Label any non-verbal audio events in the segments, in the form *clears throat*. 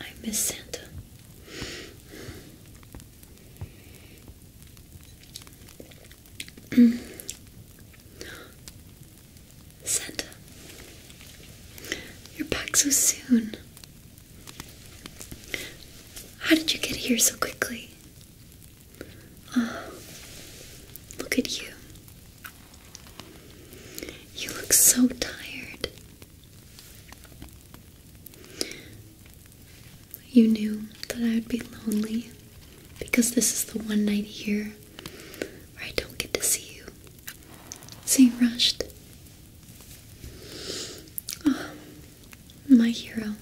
I miss Santa. *clears throat* Santa, you're back so soon. How did you get here so quickly? Oh, look at you. You look so tired. You knew that I would be lonely because this is the one night here where I don't get to see you. So rushed. Oh, my hero.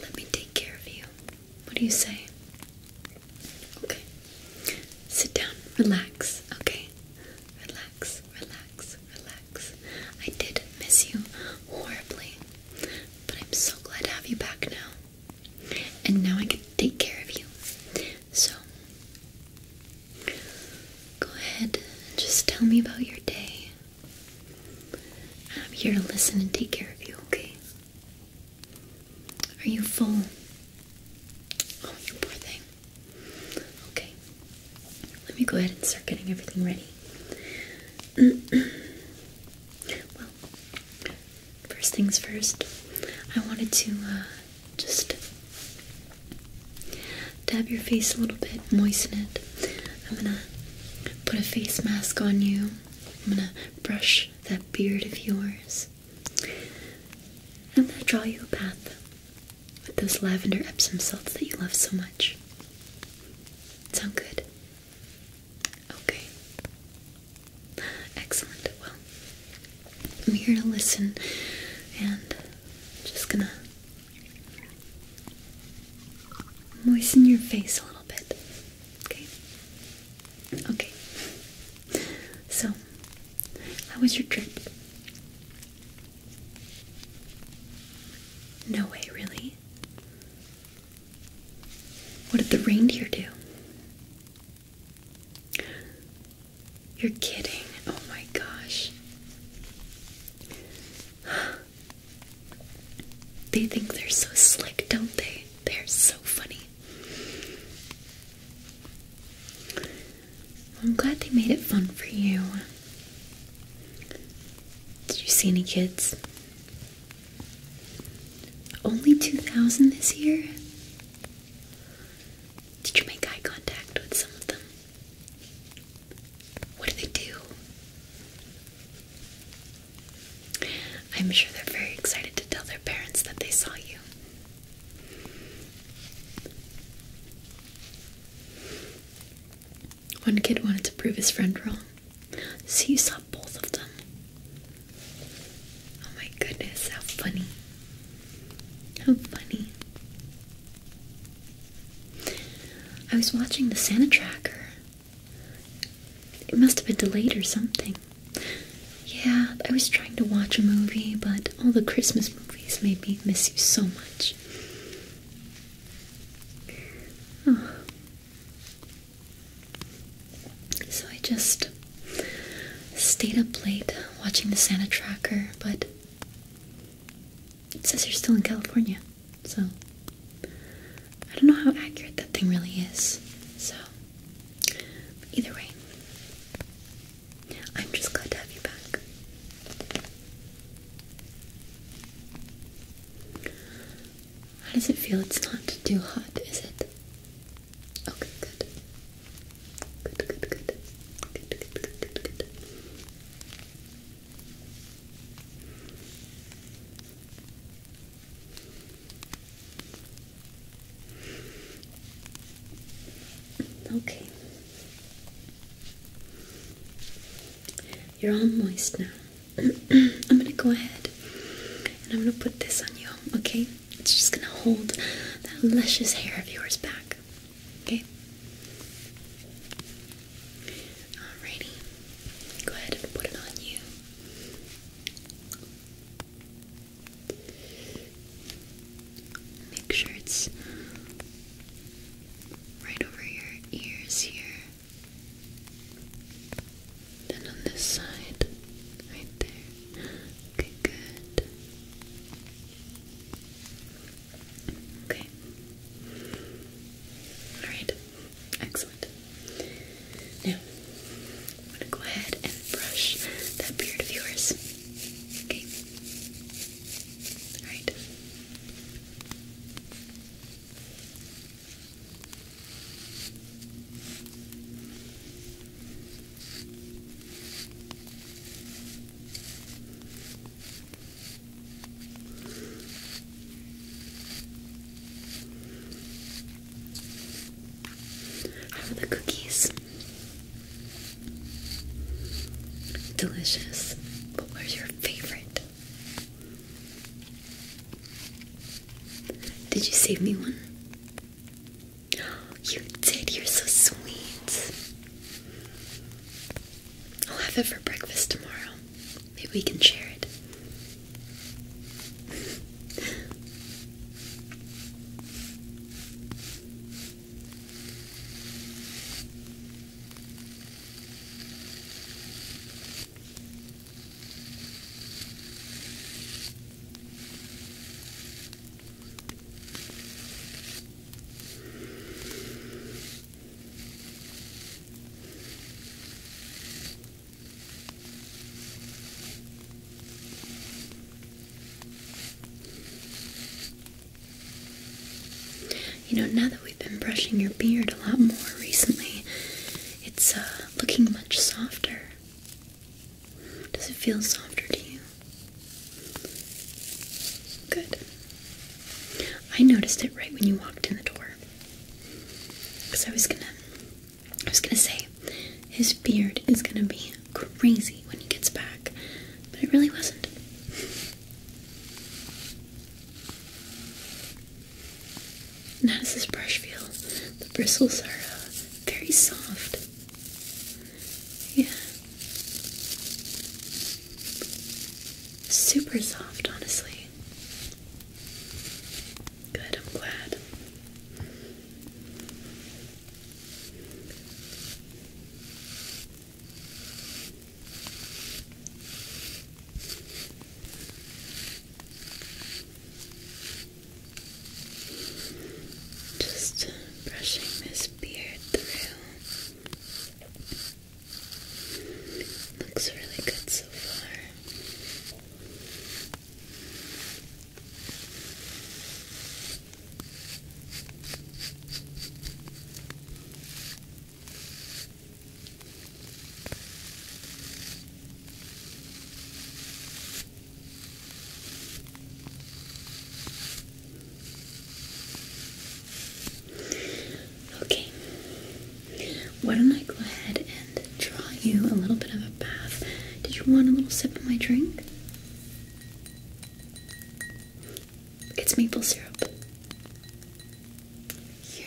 Let me take care of you. What do you say? Okay. Sit down. Relax. Okay. Relax. Relax. Relax. I did miss you horribly, but I'm so glad to have you back now. And now I can take care of you. So, go ahead and just tell me about your day. I'm here to listen and take care of you, okay? Are you full? Oh, you poor thing. Okay. Let me go ahead and start getting everything ready. *clears throat* well, first things first, I wanted to uh, just dab your face a little bit, moisten it. I'm gonna put a face mask on you. I'm gonna brush that beard of yours. I'm going draw you a bath with those lavender Epsom salts that you love so much. Sound good? Okay. Excellent. Well, I'm here to listen and I'm just gonna moisten your face a little bit. Okay? Okay. So, how was your trip? No way, really? What did the reindeer do? You're kidding. Oh my gosh. They think they're so slick, don't they? they're so funny. I'm glad they made it fun for you. Did you see any kids? Only 2,000 this year? Did you make eye contact with some of them? What do they do? I'm sure they're very excited to tell their parents that they saw you. One kid wanted to prove his friend wrong, so you saw both of them. Oh my goodness, how funny! How funny. I was watching the Santa Tracker it must have been delayed or something. Yeah, I was trying to watch a movie, but all the Christmas movies made me miss you so much. So I just stayed up late watching the Santa tracker, but it says you're still in California, so I don't know how accurate that thing really is. So, either way, I'm just glad to have you back. How does it feel? It's not too hot, is it? Okay, good. Good, good, good. Good, good, good, good, good. Okay. You're all moist now. *clears throat* I'm gonna go ahead and I'm gonna put this on you, okay? It's just gonna hold that luscious hair of yours back, okay? Alrighty. Go ahead and put it on you. Make sure it's right over your ears here. Then on this side, right there. Okay, good. Okay. Alright. Excellent. Now, I'm going to go ahead and brush that beard of yours. Okay? Alright. How are the cookies? Delicious. But where's your favorite? Did you save me one? you did. You're so sweet. I'll have it for breakfast tomorrow. Maybe we can share it. You know, now that we've been brushing your beard a lot more recently, it's uh, looking much softer. Does it feel softer to you? Good. I noticed it right when you walked in the door. Cause I was gonna, I was gonna say, his beard is gonna be crazy when he gets back, but it really wasn't. how does this brush feel? The bristles are uh, very soft. Yeah. Super soft, honestly. Good, I'm glad. Just uh, brushing this beard through. Looks really good so far. Okay. Why don't I go ahead and draw you a little bit of a bath? Did you want a little sip of my drink? It's maple syrup. Here.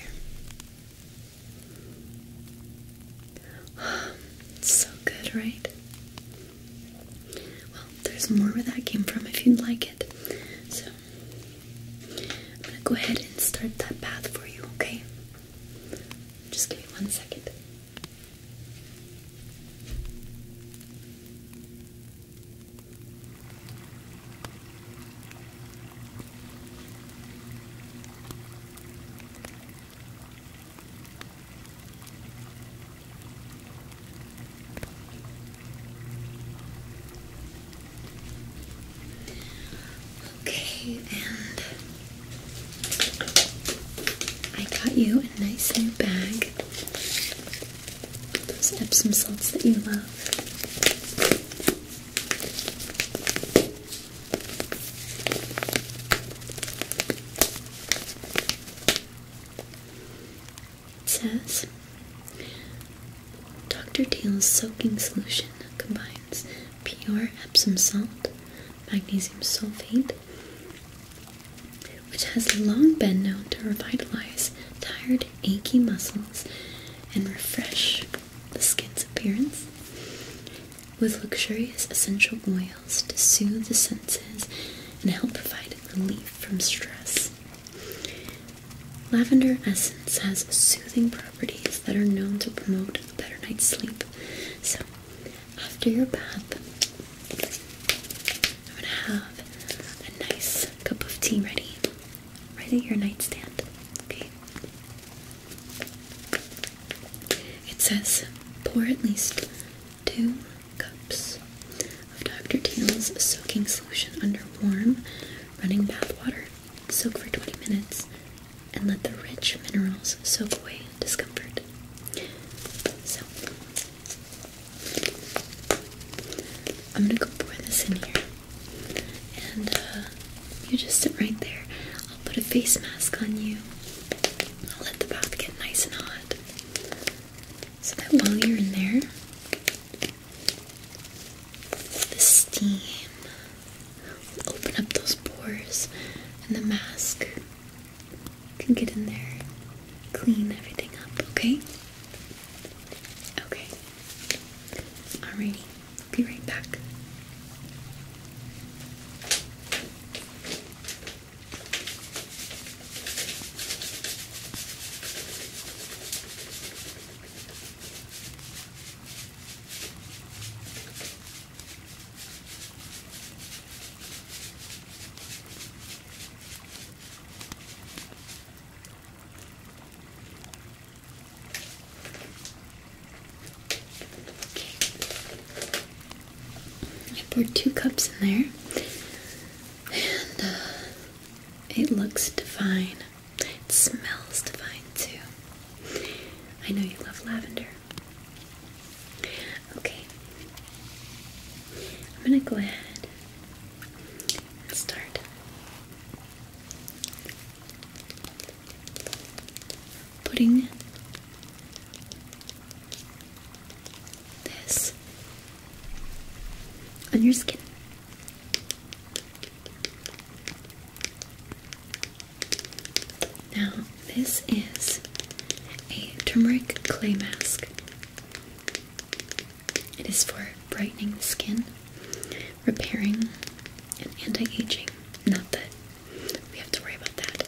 *sighs* so good, right? Well, there's more where that came from if you'd like it. So, I'm gonna go ahead and start that bath for you, okay? Just give me one second. Okay, and I got you a nice new bag. Those Epsom salts that you love. says Dr. Teal's soaking solution combines pure Epsom salt, magnesium sulfate, which has long been known to revitalize tired, achy muscles and refresh the skin's appearance, with luxurious essential oils to soothe the senses and help provide relief from stress. Lavender essence has soothing properties that are known to promote a better night's sleep. So, after your bath, I'm gonna have a nice cup of tea ready, right at your nightstand. Okay. It says pour at least two cups of Dr. Teal's soaking solution under warm, running bath water Soak for 20 minutes and let the rich minerals soak away discomfort. So, I'm gonna go pour this in here. And uh, you just sit right there. I'll put a face mask on you. I'll let the bath get nice and hot. So that while you're in there, the steam will open up those pores, and the mask can get in there, clean everything up, okay? Okay. Alrighty, be right back. I poured two cups in there, and uh, it looks divine. It smells divine too. I know you love lavender. Okay. I'm gonna go ahead and start. Putting this on your skin. Now, this is a turmeric clay mask. It is for brightening the skin, repairing, and anti aging. Not that we have to worry about that.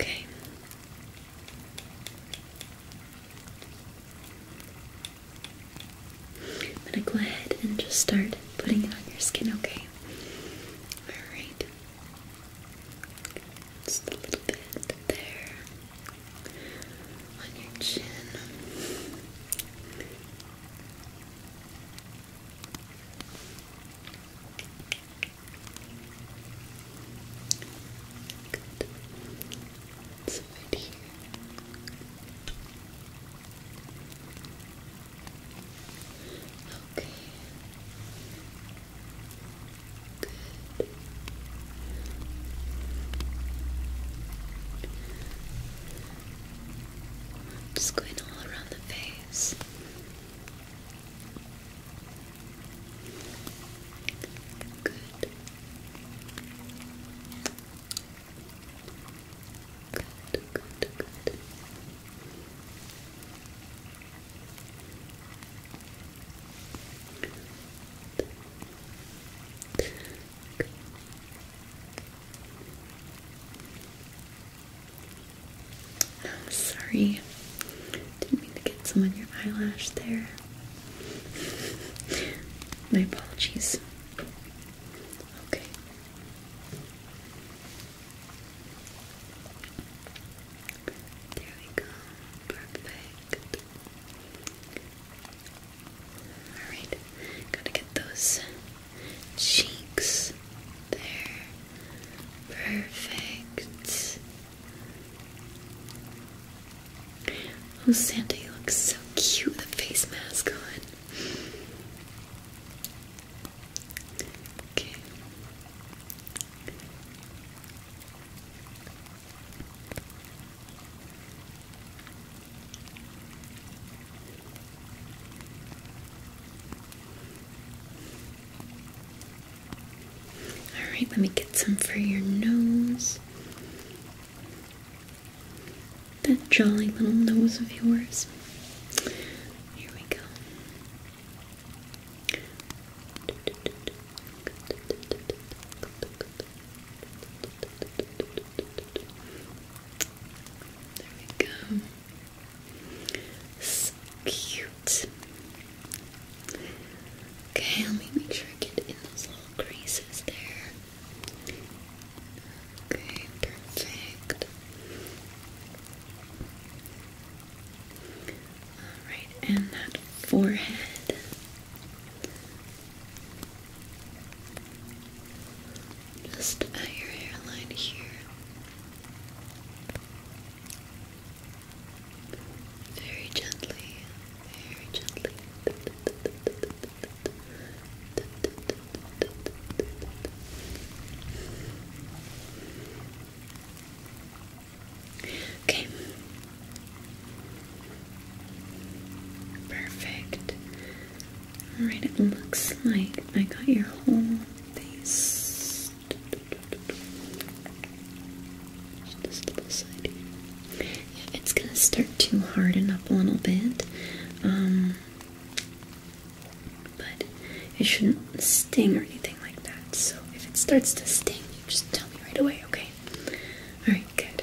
Okay. I'm gonna go ahead and just start putting it on your skin, okay? Alright. Just a little bit there on your chin. Good. Let's fit here. Okay. Good. Just going all around the face. Good. Good, good, good. I'm sorry. Didn't mean to get some on your eyelash there. My apologies. Okay. There we go. Perfect. Alright, gotta get those cheeks there. Perfect. Oh, Santa, you look so cute with a face mask on. Okay. All right, let me get some for your nose. That jolly little nose of yours. Here we go. There we go. cute. Okay, let me make sure I get in those little creases there. Okay, perfect. Alright, and that forehead. Just at your hairline here. Very gently, very gently. Okay. Perfect. Alright, it looks like I got your whole face. Just this little side here. it's gonna start to harden up a little bit. Um, but it shouldn't sting or anything like that. So if it starts to sting, you just tell me right away, okay? Alright, good.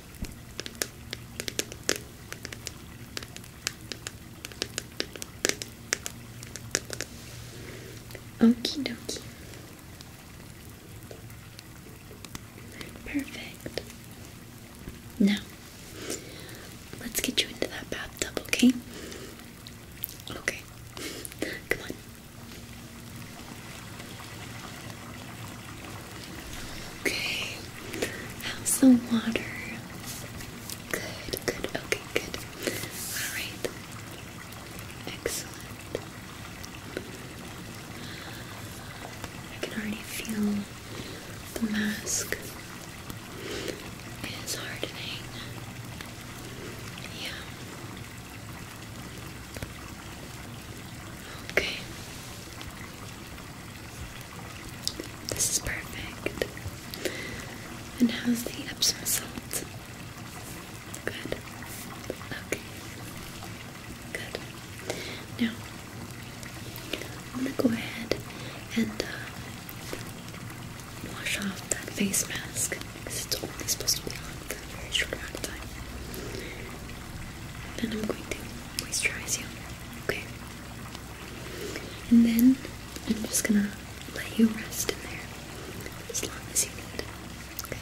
Okie dokie. Perfect. Now, let's get you into that bathtub, okay? Okay. Come on. Okay. How's the water? Good, good, okay, good. Alright. Excellent. I can already feel the mask is hardening. Yeah. Okay. This is perfect. And how's the Epsom salt? Good. Okay. Good. Now, I'm gonna go ahead and uh, wash off that face mask because it's only supposed to be on for a very short amount of time. Then I'm going to moisturize you, okay? And then I'm just gonna let you rest in there as long as you need, okay?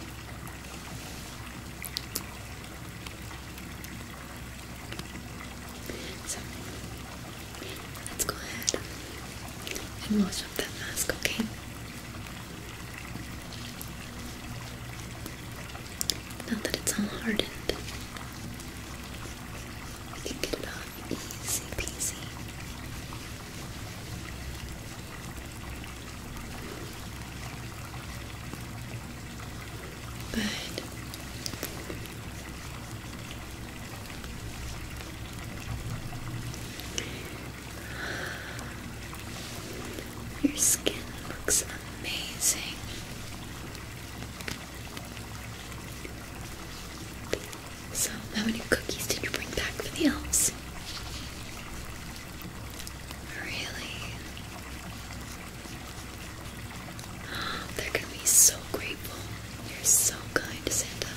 So, let's go ahead and wash up that mask, okay? Now that it's all hardened, we can get it off easy peasy. Good. Your skin looks amazing. So, how many cookies did you bring back for the elves? Really? *gasps* They're be so grateful. You're so kind, Santa.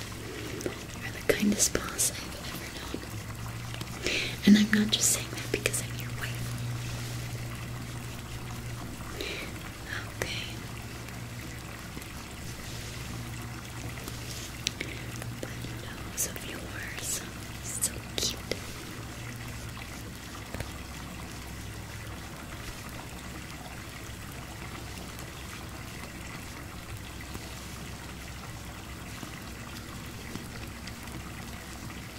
You're the kindest boss I've ever known. And I'm not just saying that because I'm your wife. Okay. The nose of yours is so cute.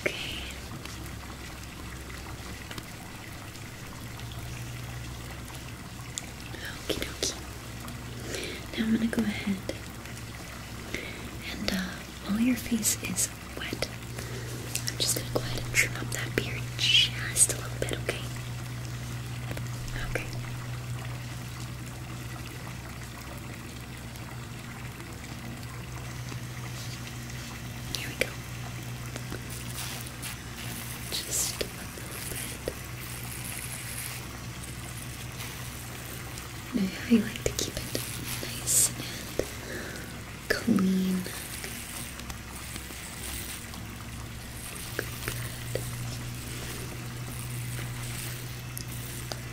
Okay. Okie dokie. Now I'm gonna go ahead and uh, while your face is wet, I'm just gonna go ahead and trim up that beard just a little bit, okay? Okay. Here we go. Just a little bit. I like to keep it nice and clean. Good.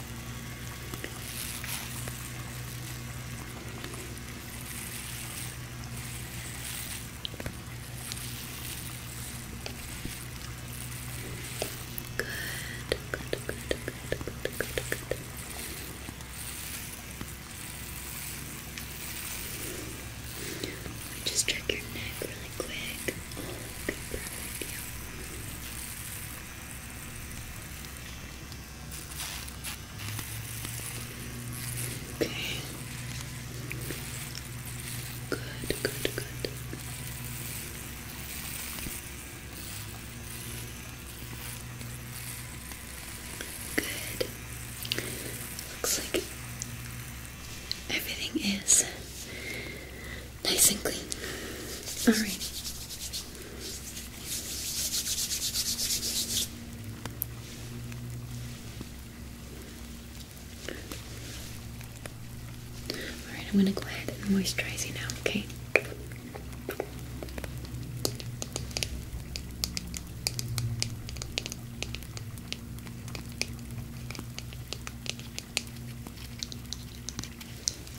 Good, good, good, good, good, good, good. i just check your neck really quick. Okay. Good, good, good. Good. Looks like everything is nice and clean. Alrighty. Alright, I'm going to go ahead and moisturize you now, okay?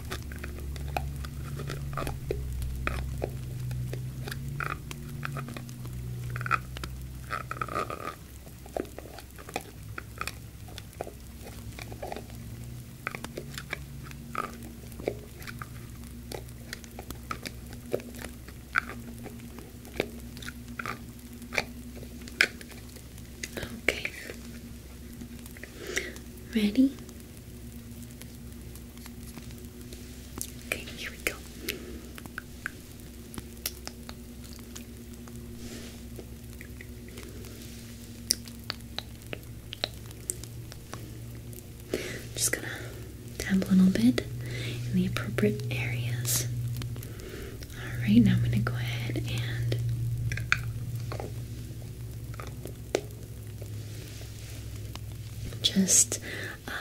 Okay. Ready? Okay, here we go. Just gonna dab a little bit in the appropriate areas. Alright, now I'm gonna go ahead and just uh,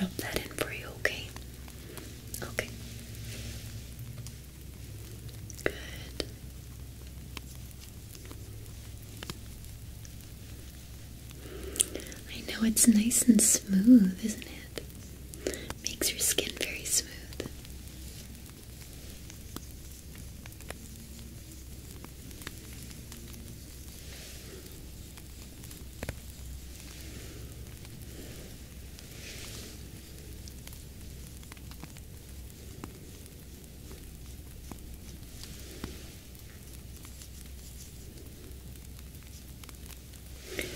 rub that in for you, okay? Okay. Good. I know it's nice and smooth, isn't it? Makes your skin very smooth. Good.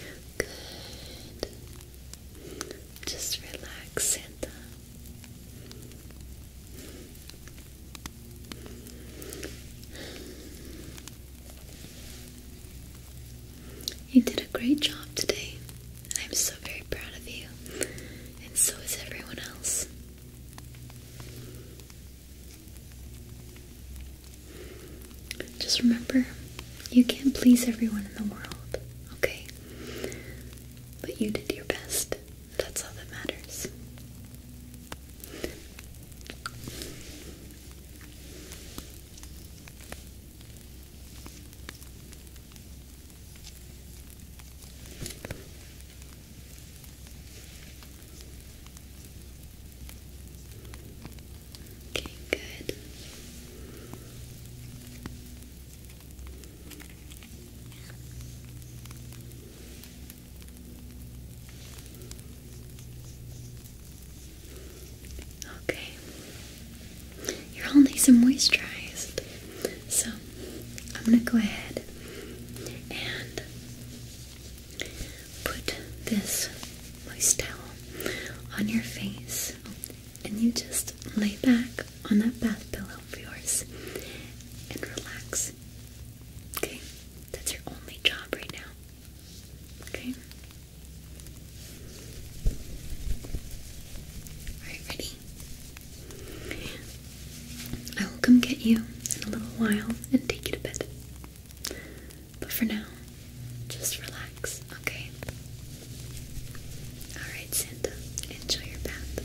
Just relax, Santa. You did a great job today. I'm so very proud of you, and so is everyone else. Just remember, you can't please everyone in the world, okay? But you did your best. That's all that matters. Okay, good. Okay. You're all nice and moisturized. So I'm gonna go ahead and put this moist towel on your face and you just lay back on that bath pillow of yours and relax. Okay? That's your only job right now. Okay? Alright, ready? I will come get you in a little while and take you to bed. But for now, just relax, okay? Alright, Santa, enjoy your bath.